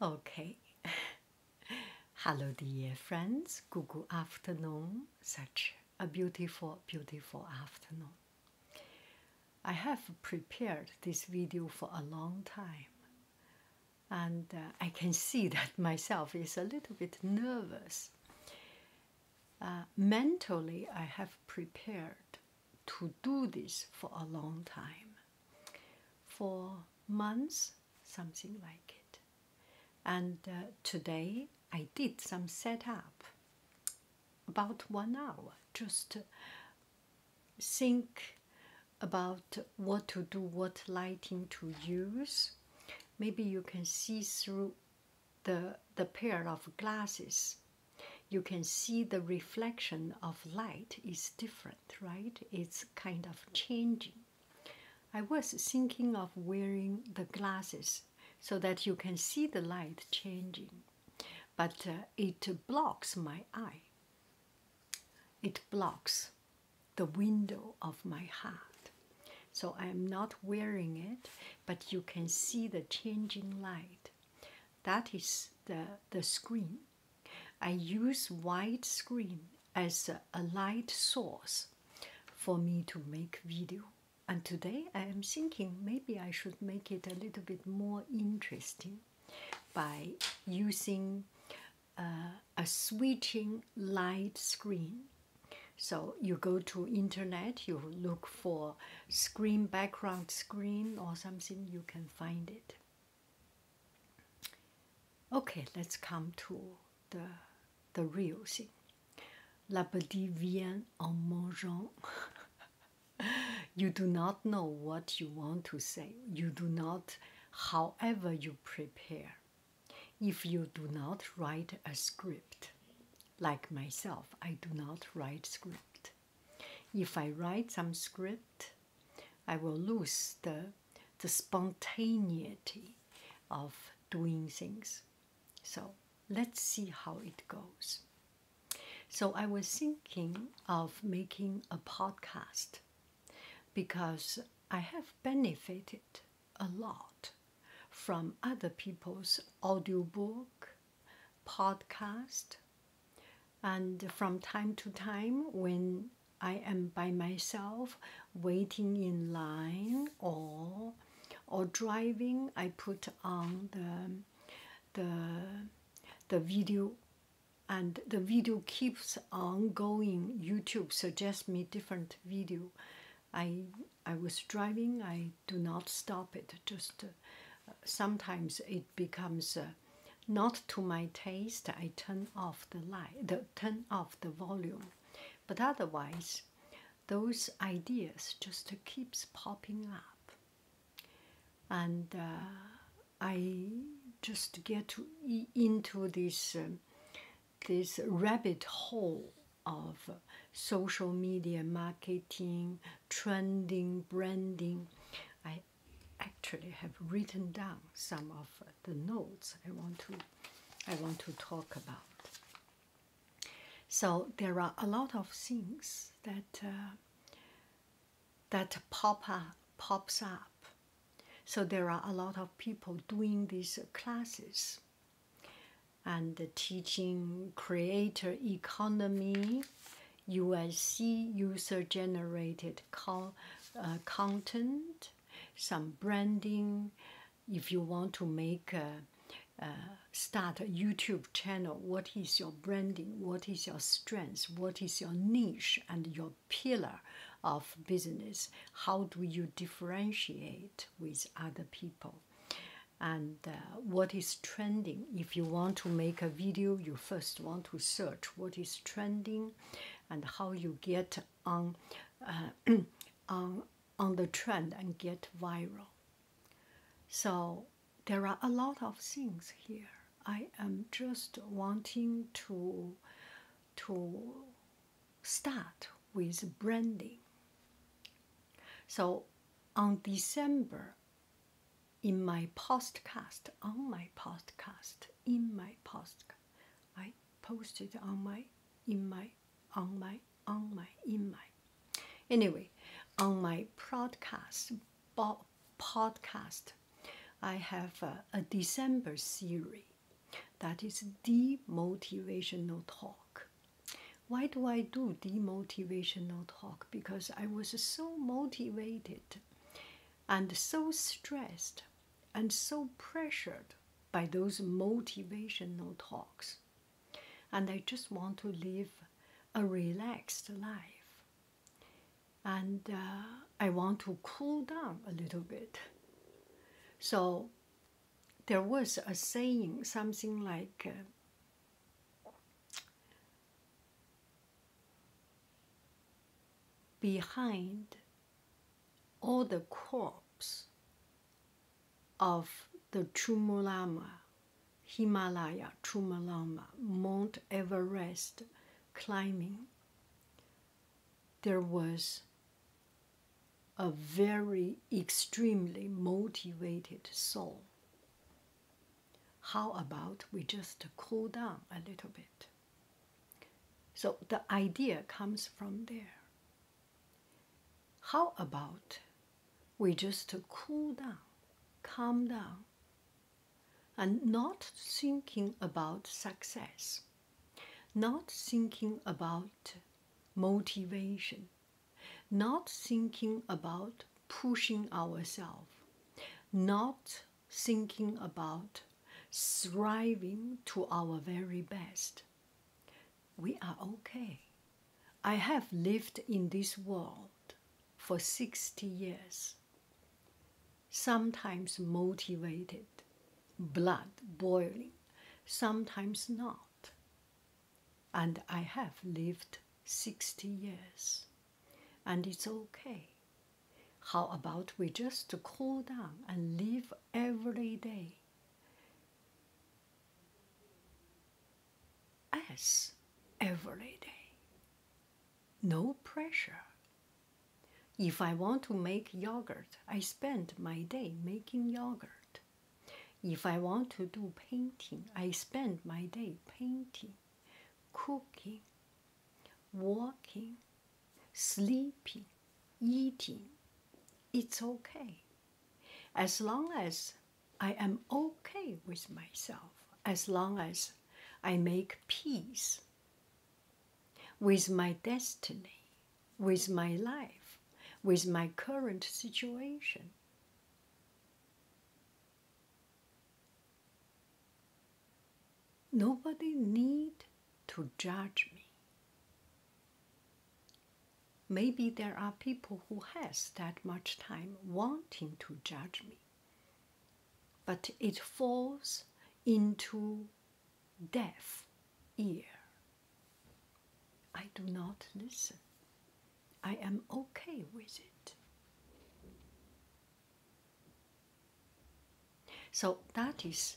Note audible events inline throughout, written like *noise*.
Okay. *laughs* Hello, dear friends. Good, afternoon. Such a beautiful, beautiful afternoon. I have prepared this video for a long time, and uh, I can see *laughs* that myself is a little bit nervous. Uh, mentally, I have prepared to do this for a long time, for months, something like it. And uh, today I did some setup, about one hour, just think about what to do, what lighting to use. Maybe you can see through the the pair of glasses you can see the reflection of light is different, right? It's kind of changing. I was thinking of wearing the glasses so that you can see the light changing, but uh, it blocks my eye. It blocks the window of my heart. So I am not wearing it, but you can see the changing light that is the, the screen. I use white screen as a, light source for me to make video. And today I am thinking maybe I should make it a little bit more interesting by using uh, a switching light screen. So you go to internet, you look for screen background screen or something you can find it okay let's come to the the real thing la petite vienne en mangeant *laughs* you do not know what you want to say you do not however you prepare if you do not write a script like myself i do not write script if I write some script, I will lose the, the spontaneity of doing things. So let's see how it goes. So I was thinking of making a podcast because I have benefited a lot from other people's audiobook podcast and from time to time when i am by myself waiting in line or or driving i put on the the the video and the video keeps on going youtube suggests me different video i i was driving i do not stop it just sometimes it becomes uh, not to my taste. I turn off the light, the, turn off the volume, but otherwise, those ideas just keeps popping up, and uh, I just get into this uh, this rabbit hole of social media marketing trending branding i actually have written down some of the notes i want to i want to talk about so there are a lot of things that uh, that pop pops up so there are a lot of people doing these classes and teaching creator economy you will see user generated co uh, content, some branding. If you want to make start a YouTube channel, what is your branding? What is your strength? What is your niche and your pillar of business? How do you differentiate with other people? and uh, what is trending. If you want to make a video, you first want to search what is trending and how you get on, uh, *clears throat* on, on the trend and get viral. So there are a lot of things here. I am just wanting to, to start with branding. So on December in my podcast, on my podcast, in my post, I posted on my, in my, on my, on my, in my. Anyway, on my podcast, podcast, I have a, a December series that is the motivational talk why do I do demotivational talk? Because I was so motivated and so stressed and so pressured by those motivational talks. And I just want to live a relaxed life. And uh, I want to cool down a little bit. So there was a saying, something like, uh, behind all the corpse of the Chumulama, Himalaya, Chumulama, Mount Everest climbing, there was a very extremely motivated soul how about we just cool down a little bit? So the idea comes from there. How about we just cool down, calm down, and not thinking about success, not thinking about motivation, not thinking about pushing ourselves, not thinking about striving to our very best. We are okay. I have lived in this world for 60 years, sometimes motivated, blood boiling, sometimes not and I have lived 60 years, and it's okay. How about we just cool down and live every day as every day? No pressure. If I want to make yogurt, I spend my day making yogurt. If I want to do painting, I spend my day painting, cooking, walking, sleeping, eating. It's okay. As long as I am okay with myself, as long as I make peace with my destiny, with my life, with my current situation, Nobody need to judge me. Maybe there are people who has that much time wanting to judge me. But it falls into deaf ear. I do not listen. I am okay with it. So that is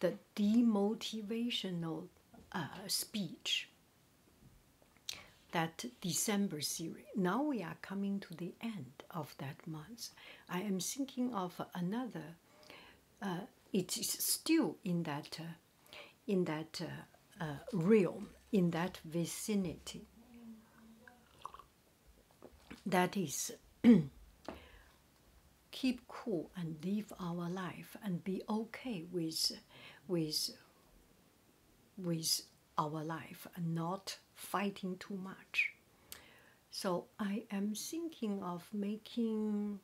the demotivational uh, speech that December series. Now we are coming to the end of that month. I am thinking of another. Uh, it is still in that uh, in that uh, uh, realm, in that vicinity. That is, *clears throat* keep cool and live our life and be okay with, with, with our life and not fighting too much. So I am thinking of making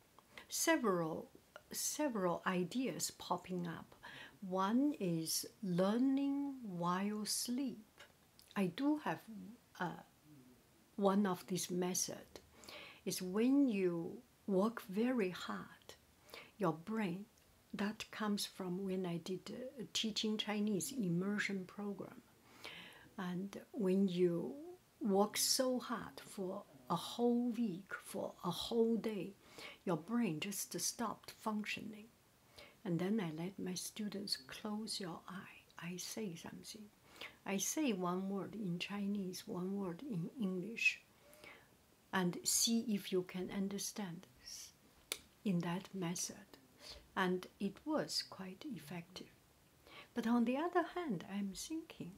several several ideas popping up. One is learning while sleep. I do have uh, one of these methods. Is when you work very hard, your brain. That comes from when I did teaching Chinese immersion program, and when you work so hard for a whole week, for a whole day, your brain just stopped functioning. And then I let my students close your eye. I say something. I say one word in Chinese, one word in English, and see if you can understand in that method. And it was quite effective. But on the other hand, I'm thinking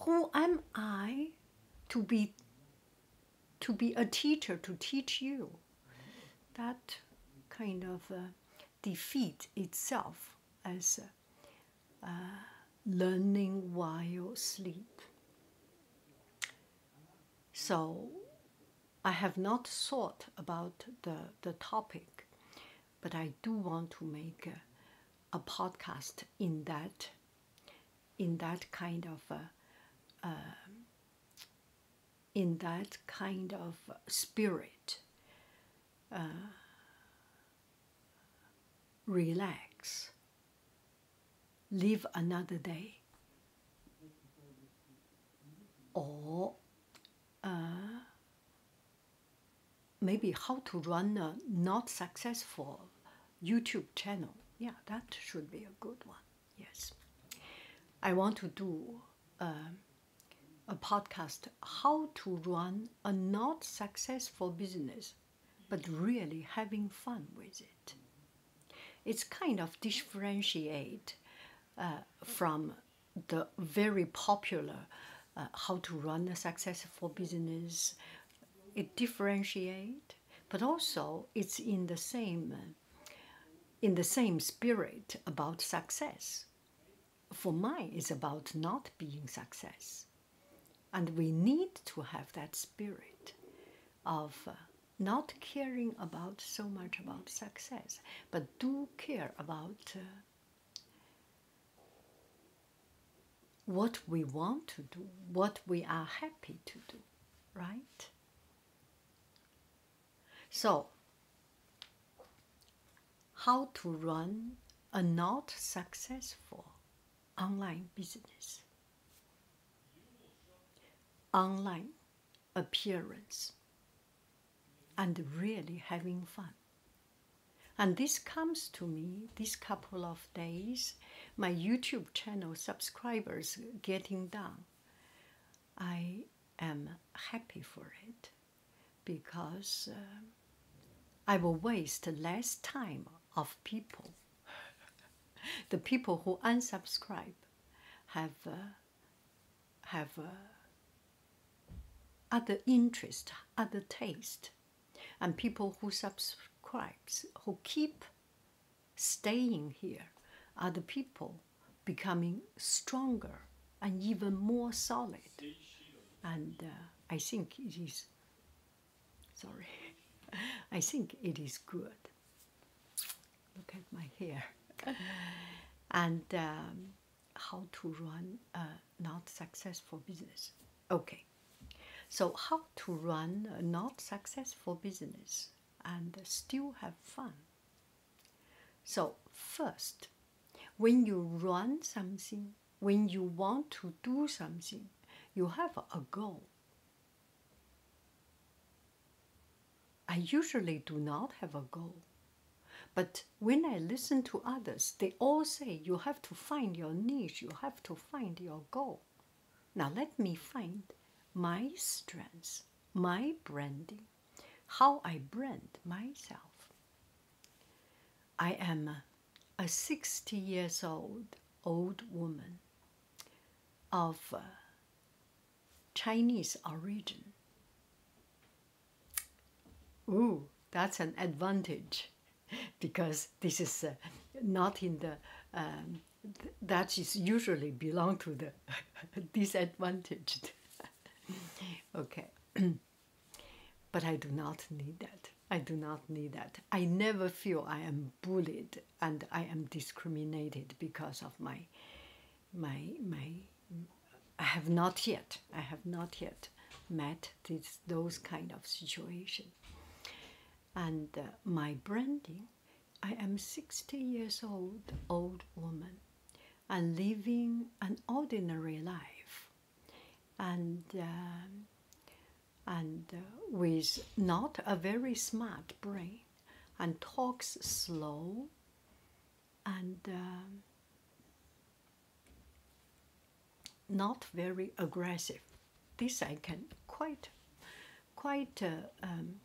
who am I to be to be a teacher to teach you? That kind of uh, defeat itself as uh, uh, learning while sleep. So I have not thought about the, the topic, but I do want to make a podcast in that in that kind of uh, um, in that kind of spirit uh, relax live another day or uh, maybe how to run a not successful YouTube channel. Yeah, that should be a good one. Yes. I want to do um, a podcast how to run a not successful business but really having fun with it. It's kind of differentiate uh, from the very popular uh, how to run a successful business. It differentiate but also it's in the same in the same spirit about success. For me, it's about not being success. And we need to have that spirit of uh, not caring about so much about success, but do care about uh, what we want to do, what we are happy to do, right? So, how to run a not successful online business? Online appearance and really having fun. And this comes to me, this couple of Days, my YouTube channel subscribers getting down. I am happy for it because uh, I will waste less time of people. *laughs* the people who unsubscribe have uh, have uh, other interest, other taste, and people who subscribe, who keep staying here, are the people becoming stronger and even more solid. And uh, I think it is, sorry, *laughs* I think it is good. Look at my hair. and um, how to run a not successful business. Okay, so how to run a not successful business and still have fun? So, first, when you run something, when you want to do something, you have a goal. I usually do not have a goal. But when I listen to others, they all say you have to find your niche, you have to find your goal. Now let me find my strengths, my branding, how I brand myself. I am a 60 years old old woman of uh, Chinese origin. Ooh, that's an advantage. *laughs* because this is uh, not in the um, that is usually belong to the *laughs* disadvantaged *laughs* okay *clears throat* but i do not need that i do not need that i never feel i am bullied and i am discriminated because of my my my i have not yet i have not yet met this, those kind of situation and uh, my branding i am 60 years old old woman and living an ordinary life and um, and uh, with not a very smart brain and talks slow and um, not very aggressive. This I can quite, quite uh, um,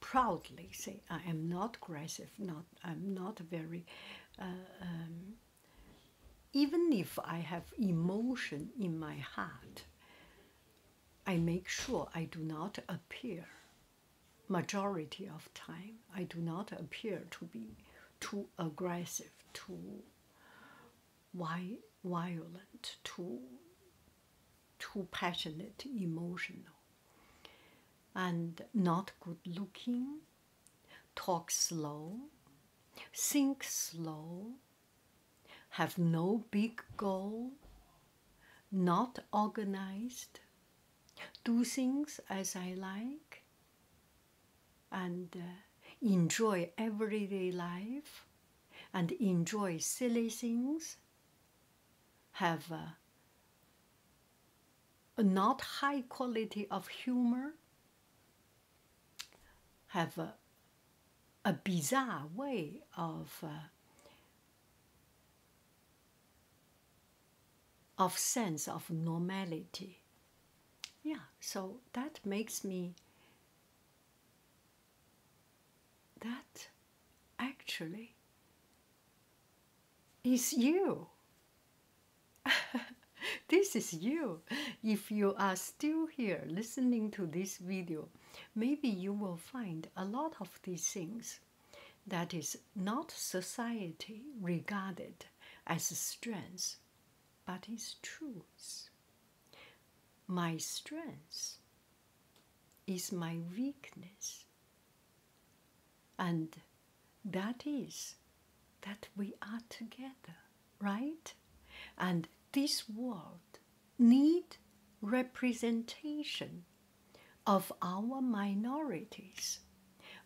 proudly say I am not aggressive. Not I'm not very. Uh, um, even if I have emotion in my heart, I make sure I do not appear. Majority of time, I do not appear to be too aggressive, too why violent, too too passionate, emotional, and not good looking, talk slow, think slow, have no big goal, not organized, do things as I like, and uh, enjoy everyday life and enjoy silly things, have uh, a, not high quality of humor, have uh, a, bizarre way of of sense of normality yeah so that makes me that actually is you *laughs* this is you if you are still here listening to this video maybe you will find a lot of these things that is not society regarded as strength but it's truth. My strength is my weakness. And that is that we are together, right? And this world need representation of our minorities,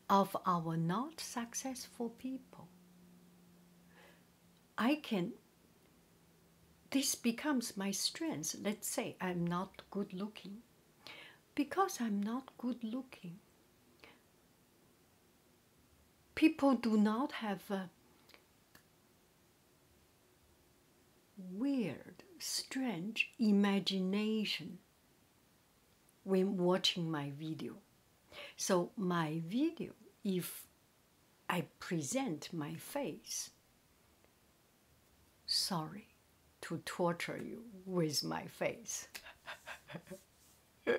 of our not successful people. I can, this becomes my strength. Let's say I'm not good looking. Because I'm not good looking, people do not have weird, strange imagination when watching my video. So, my video, if I present my face, sorry to torture you with my face. *laughs*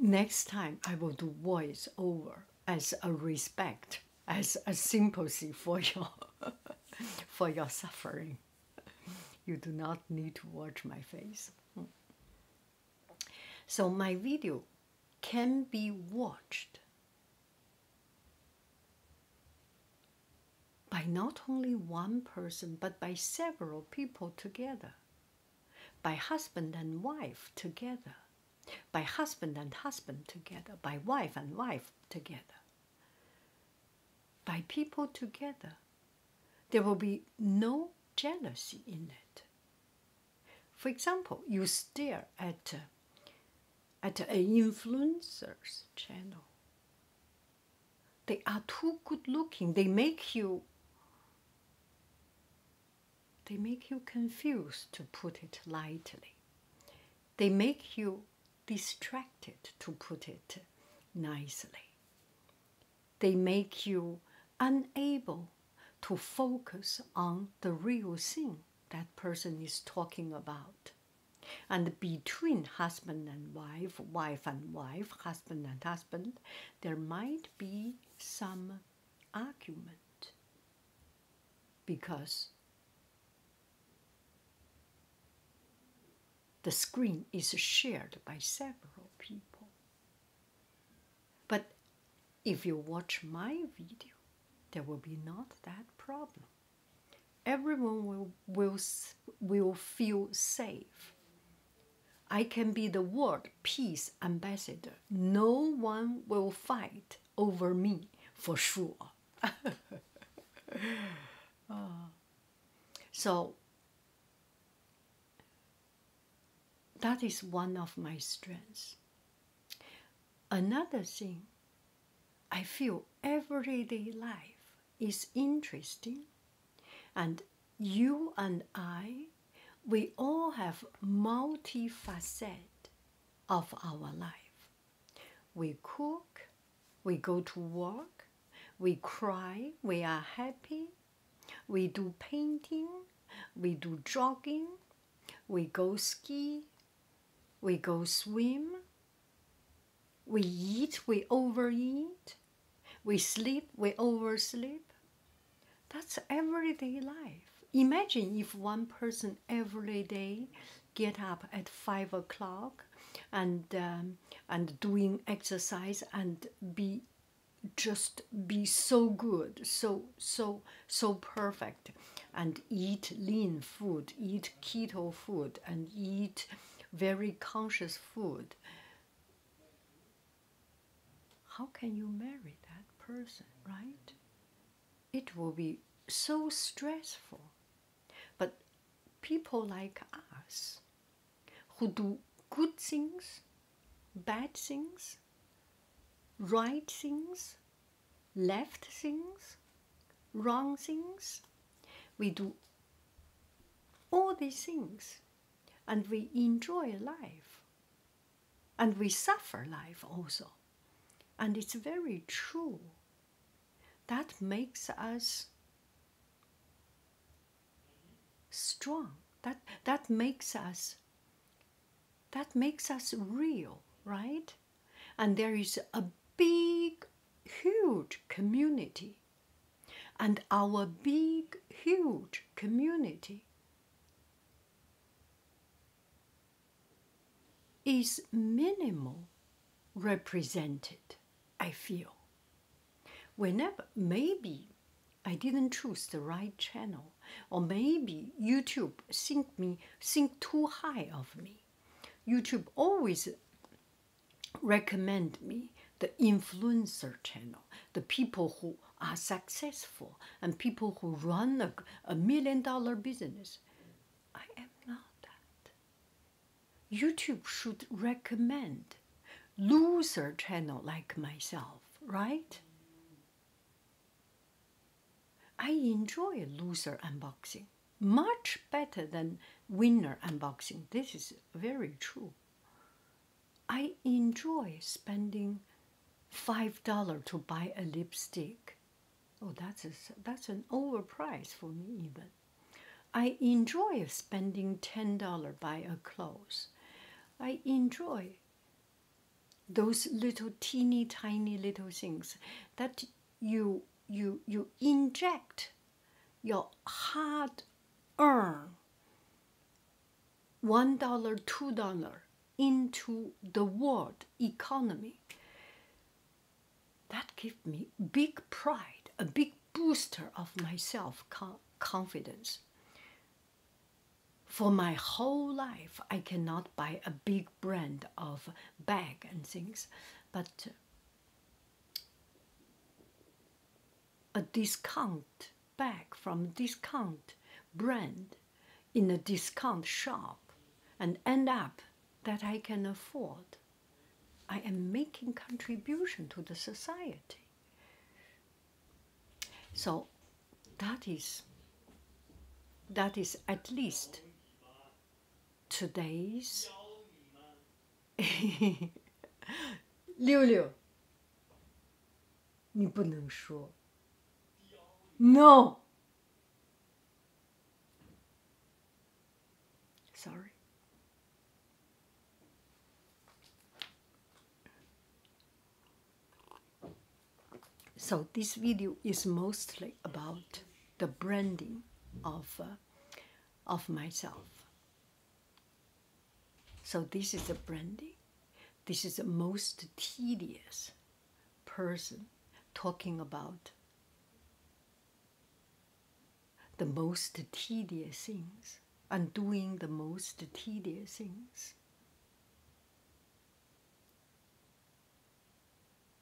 Next time, I will do voice over as a respect, as a sympathy for your, *laughs* for your suffering. You do not need to watch my face. So my video can be watched by not only one person but by several people together, by husband and wife together, by husband and husband together, by wife and wife together by people together. There will be no jealousy in it. For example, you stare at, uh, at an influencer's channel. They are too good looking. They make you they make you confused to put it lightly. They make you distracted to put it nicely they make you unable to focus on the real thing that person is talking about. And between husband and wife, wife and wife, husband and husband, there might be some argument because the screen is shared by several people. But if you watch my video, there will be not that problem. Everyone will, will, will feel safe. I can be the world peace ambassador. No one will fight over me for sure. *laughs* Ah. so that is one of my strengths. Another thing, I feel everyday life is interesting, and you and I, we all have multi facet of our life. We cook, we go to work, we cry, we are happy, we do painting, we do jogging, we go ski, we go swim, we eat, we overeat, we sleep, we oversleep. That's everyday life. Imagine if one person every day get up at five o'clock and um, and doing exercise and be just be so good so so so perfect and eat lean food eat keto food and eat very conscious food how can you marry that person right it will be so stressful but people like us who do good things, bad things, right things, left things, wrong things, we do all these things and we enjoy life and we suffer life also. And it's very true that makes us strong that that makes us that makes us real right and there is a big huge community and our big huge community is minimal represented i feel Whenever, maybe I didn't choose the right channel, or maybe YouTube think me think too high of me. YouTube always recommend me the influencer channel, the people who are successful and people who run a, million dollar business. I am not that. YouTube should recommend loser channel like myself, right? I enjoy loser unboxing much better than winner unboxing. This is very true. I enjoy spending $5 to buy a lipstick. Oh, that's a, that's an overprice for me even. I enjoy spending $10 buy a clothes. I enjoy those little teeny tiny little things that you you you inject your hard earned one dollar two dollar into the world economy that gave me big pride, a big booster of myself confidence. For my whole life, I cannot buy a big brand of bag and things, but uh, a discount bag from discount brand in a discount shop and end up that I can afford. I am making contribution to the society. So that is that is at least today's *laughs* Liu Liu. 你不能说 No Sorry. So this video is mostly about the branding of uh, of myself. So this is a branding. This is the most tedious person talking about the most tedious things undoing the most tedious things.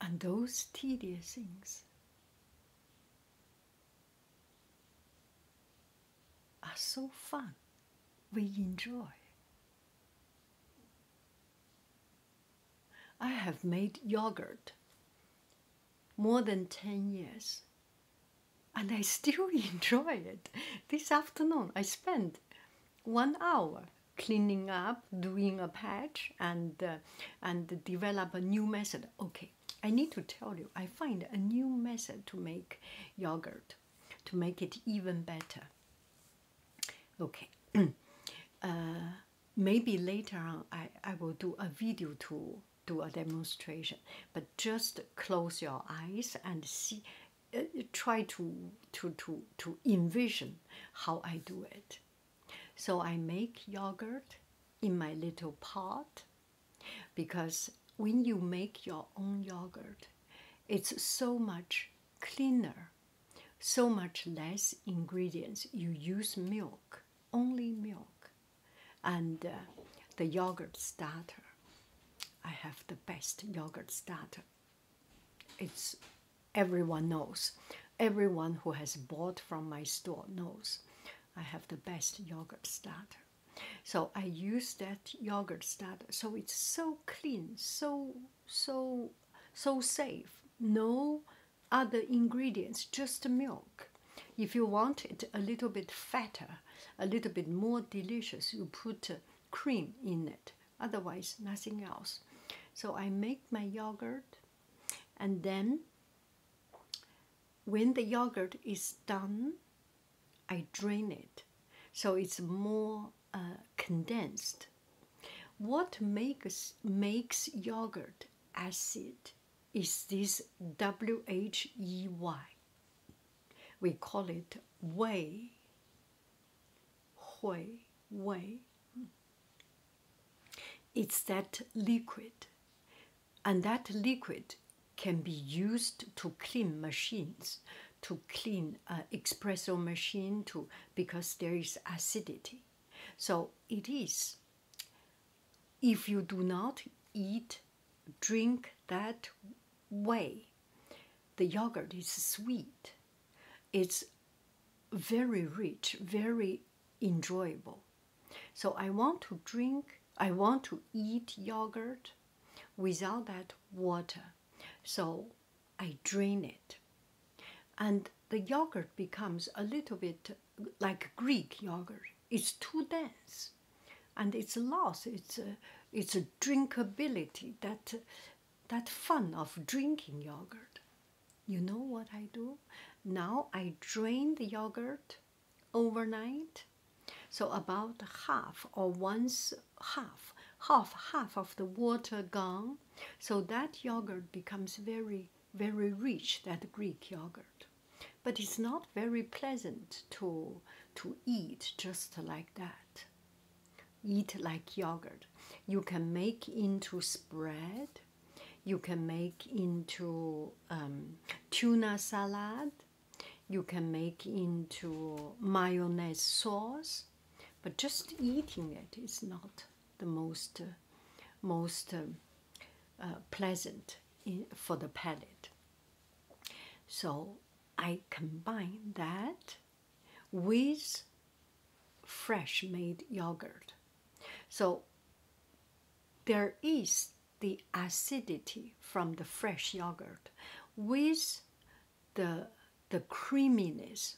And those tedious things are so fun, we enjoy. I have made yogurt more than 10 years and I still *laughs* enjoy it. This afternoon I spent one hour cleaning up, doing a patch, and uh, and develop a new method. Okay, I need to tell you, I find a new method to make yogurt, to make it even better. Okay, *clears throat* uh, maybe later on I I will do a video to do a demonstration, but just close your eyes and see. Uh, try to to to to envision how I do it. So I make yogurt in my little pot because when you make your own yogurt, it's so much cleaner, so much less ingredients. You use milk, only milk and uh, the yogurt starter. I have the best yogurt starter. It's everyone knows. Everyone who has bought from my store knows I have the best yogurt starter. So I use that yogurt starter. So it's so clean, so so so safe. No other ingredients, just milk. If you want it a little bit fatter, a little bit more delicious, you put uh, cream in it. Otherwise, nothing else. So I make my yogurt, and then when the yogurt is done, I drain it. So it's more uh, condensed. What makes, makes yogurt acid is this W-H-E-Y. We call it Wei. Hui, Wei. It's that liquid. And that liquid can be used to clean machines, to clean uh, espresso machine, to because there is acidity. So it is if you do not eat, drink that way, the yogurt is sweet. It's very rich, very enjoyable. So I want to drink, I want to eat yogurt without that water. So I drain it. And the yogurt becomes a little bit like Greek yogurt. It's too dense, and it's a loss. It's a, it's drinkability that that fun of drinking yogurt. You know what I do? Now I drain the yogurt overnight. So about half or once half, half half of the water gone. So that yogurt becomes very very rich that Greek yogurt, but it's not very pleasant to to eat just like that. Eat like yogurt. You can make into spread. You can make into um, tuna salad. You can make into mayonnaise sauce, but just eating it is not the most most. Uh, pleasant for the palate. So I combine that with fresh made yogurt. So there is the acidity from the fresh yogurt with the, the creaminess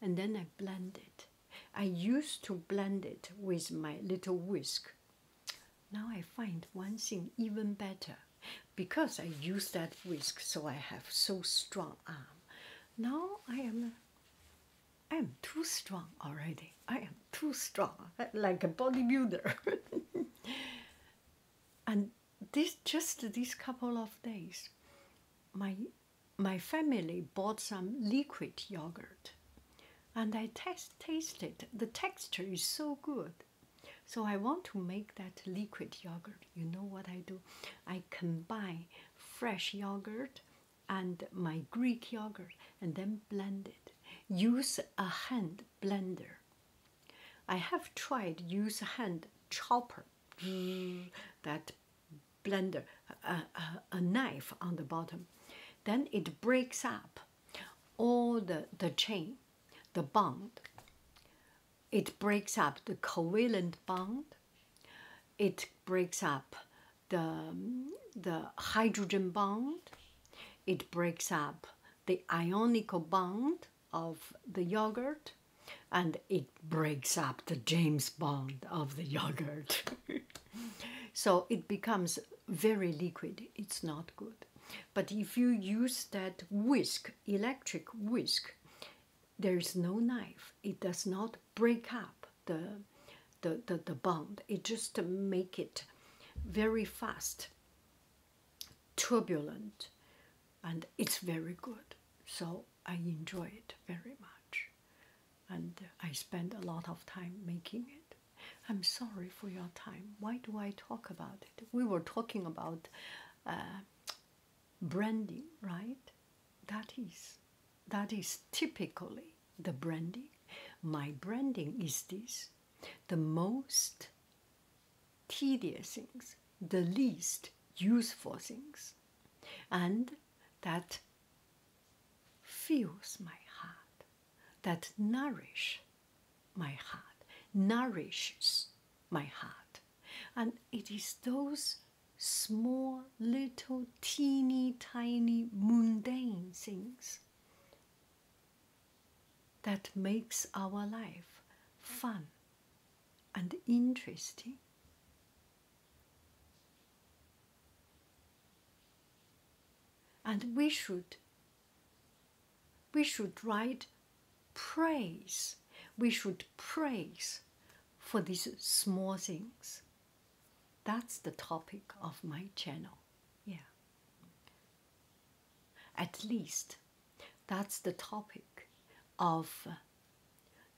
and then I blend it I used to blend it with my little whisk. Now I find one thing even better because I use that whisk so I have so strong arm. Now I am I am too strong already. I am too strong like a bodybuilder. *laughs* and this just these couple of days my my family bought some liquid yogurt and I test tasted the texture is so good. So I want to make that liquid yogurt. You know what I do? I combine fresh yogurt and my Greek yogurt and then blend it. Use a hand blender. I have tried use a hand chopper mm. that blender, a, knife on the bottom. Then it breaks up all the, the chain, the bond. It breaks up the covalent bond. It breaks up the, the hydrogen bond. It breaks up the ionical bond of the yogurt and it breaks up the James Bond of the *laughs* yogurt. *laughs* so it becomes very liquid. It's not good. But if you use that whisk, electric whisk, there is no knife. It does not break up the the the, the bond. It just make it very fast, turbulent, and it's very good. So I enjoy it very much and I spend a lot of time making it. I'm sorry for your time. Why do I talk about it? We were talking about uh, branding, right? That is, that is typically the branding. My branding is this: the most tedious things, the least useful things, and that fills my heart, that nourish my heart, nourishes my heart. And it is those small, little, teeny, tiny, mundane things that makes our life fun and interesting and we should we should write praise. We should praise for these small things. That's the topic of my channel. Yeah. At least that's the topic of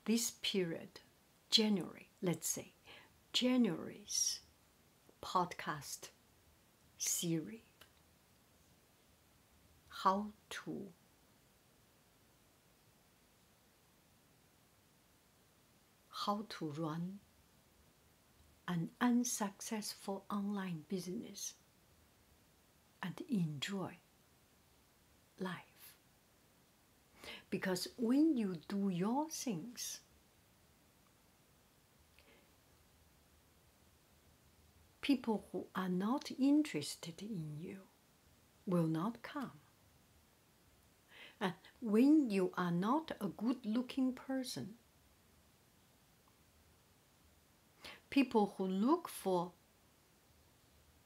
this period January, let's say, January's podcast series how to how to run an unsuccessful online business and enjoy life because when you do your things, people who are not interested in you will not come. And when you are not a good looking person, people who look for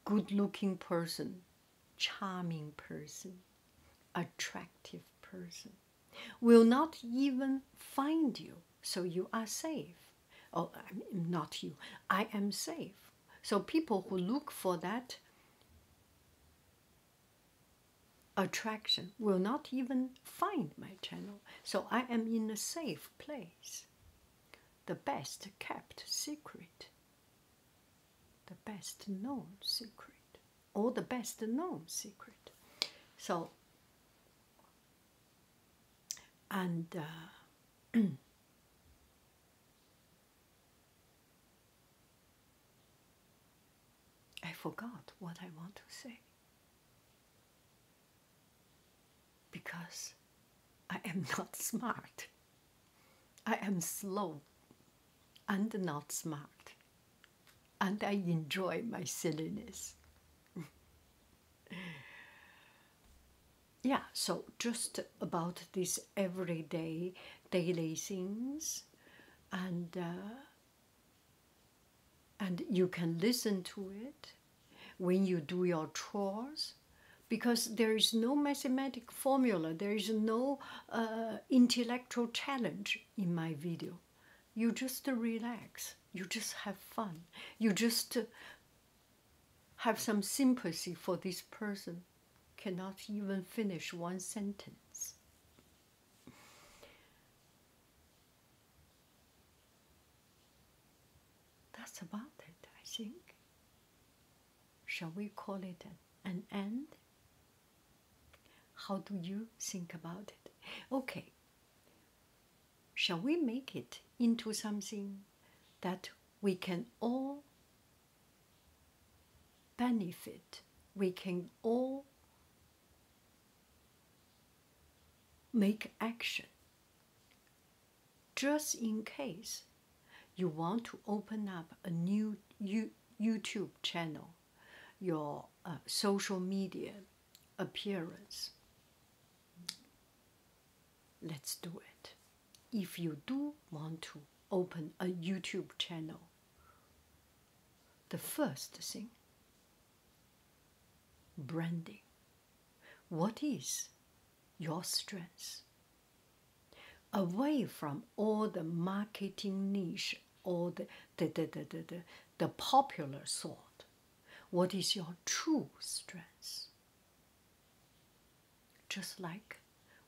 good looking person charming person, attractive person, will not even find you, so you are safe. Oh, not you, I am safe. So people who look for that attraction will not even find my channel. So I am in a safe place, the best kept secret the best known secret or the best known secret so and uh, *clears throat* I forgot what I want to say because I am *laughs* not smart. I am slow and not smart, and I enjoy my silliness. yeah, so just about these everyday daily things, and uh, and you can listen to it when you do your chores because there is no mathematic formula, there is no uh, intellectual challenge in my video. You just relax, you just have fun, you just uh, have some sympathy for this person, cannot even finish one sentence. That's about it, I think. Shall we call it an end? How do you think about it? Okay. Shall we make it into something that we can all benefit? We can all make action just in case you want to open up a new YouTube channel, your uh, social media appearance. Let's do it. If you do want to open a YouTube channel, the first thing branding. What is your stress? away from all the marketing niche or the, the, the, the, the, the, the popular sort. What is your true strength? Just like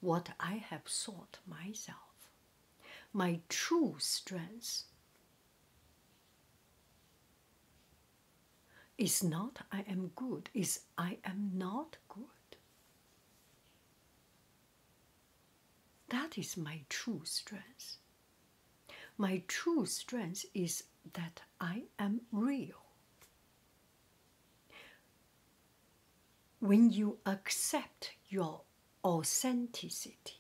what I have sought myself. My true strength is not I am good, is I am not good. That is my true strength. My true strength is that I am real. When you accept your authenticity,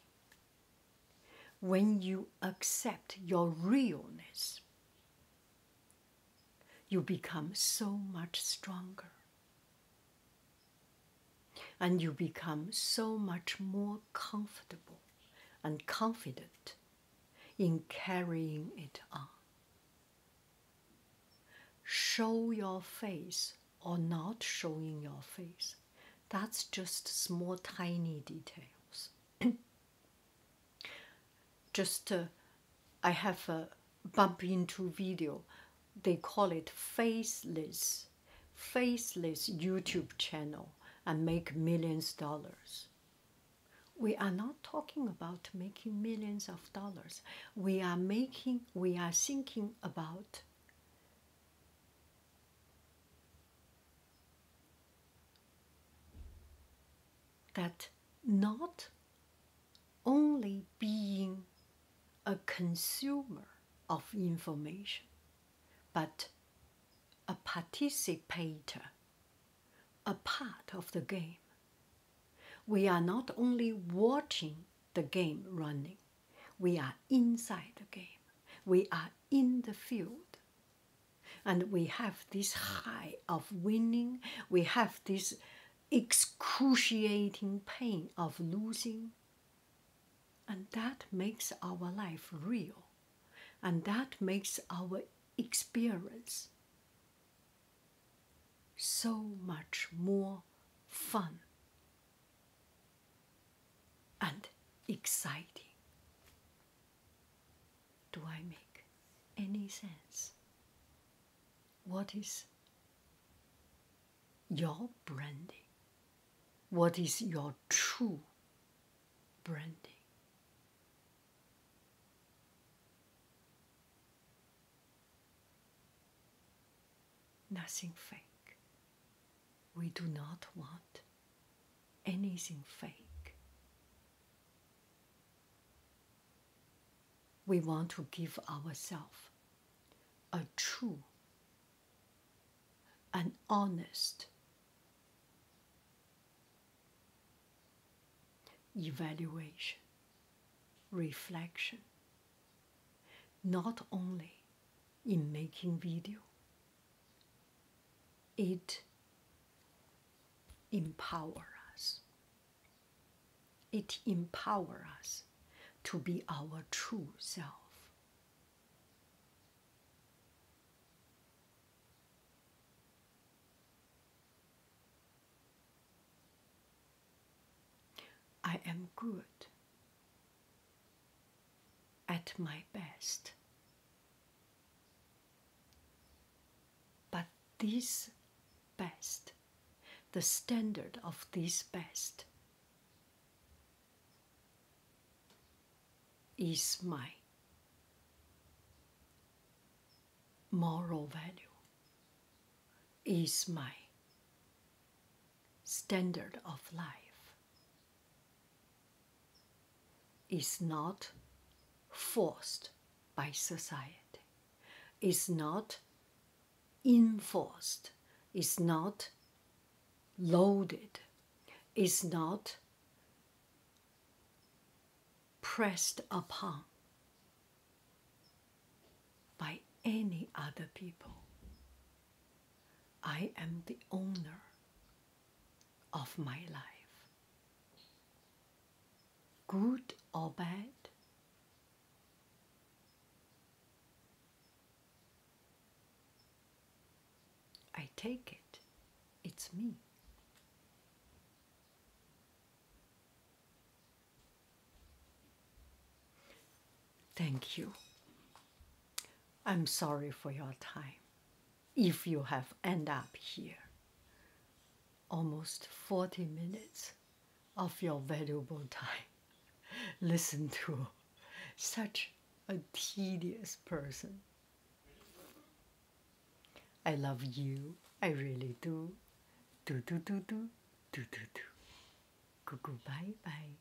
when you accept your realness, you become so much stronger. And you become so much more comfortable and confident in carrying it on. Show your face or not showing your face, that's just small, tiny details. *clears throat* just uh, I have a bump into video. They call it faceless, faceless YouTube channel and make millions dollars. We are not talking about making millions of dollars. We are making, we are thinking about that not only being a consumer of information, but a participator, a part of the game. We are not only watching the game running, we are inside the game, we are in the field. And we have this high of winning, we have this excruciating pain of losing. And that makes our life real. And that makes our experience so much more fun and exciting. Do I make any sense? What is your branding? What is your true branding? Nothing fake. We do not want anything fake we want to give ourselves a true and honest evaluation, reflection, not only in making video, it empowers. us it empowers us to be our true self. I am good at my best. But this best, the standard of this best, is my moral value, is my standard of life, is not forced by society is not enforced, is not loaded, is not pressed upon by any other people. I am the owner of my life. Good or bad? I take it, it's me. Thank you. I'm sorry for your time if you have end up here almost 40 minutes of your valuable time. *laughs* Listen to such a tedious person. I love you. I really do. Do do do do do do do. Goo goo bye bye.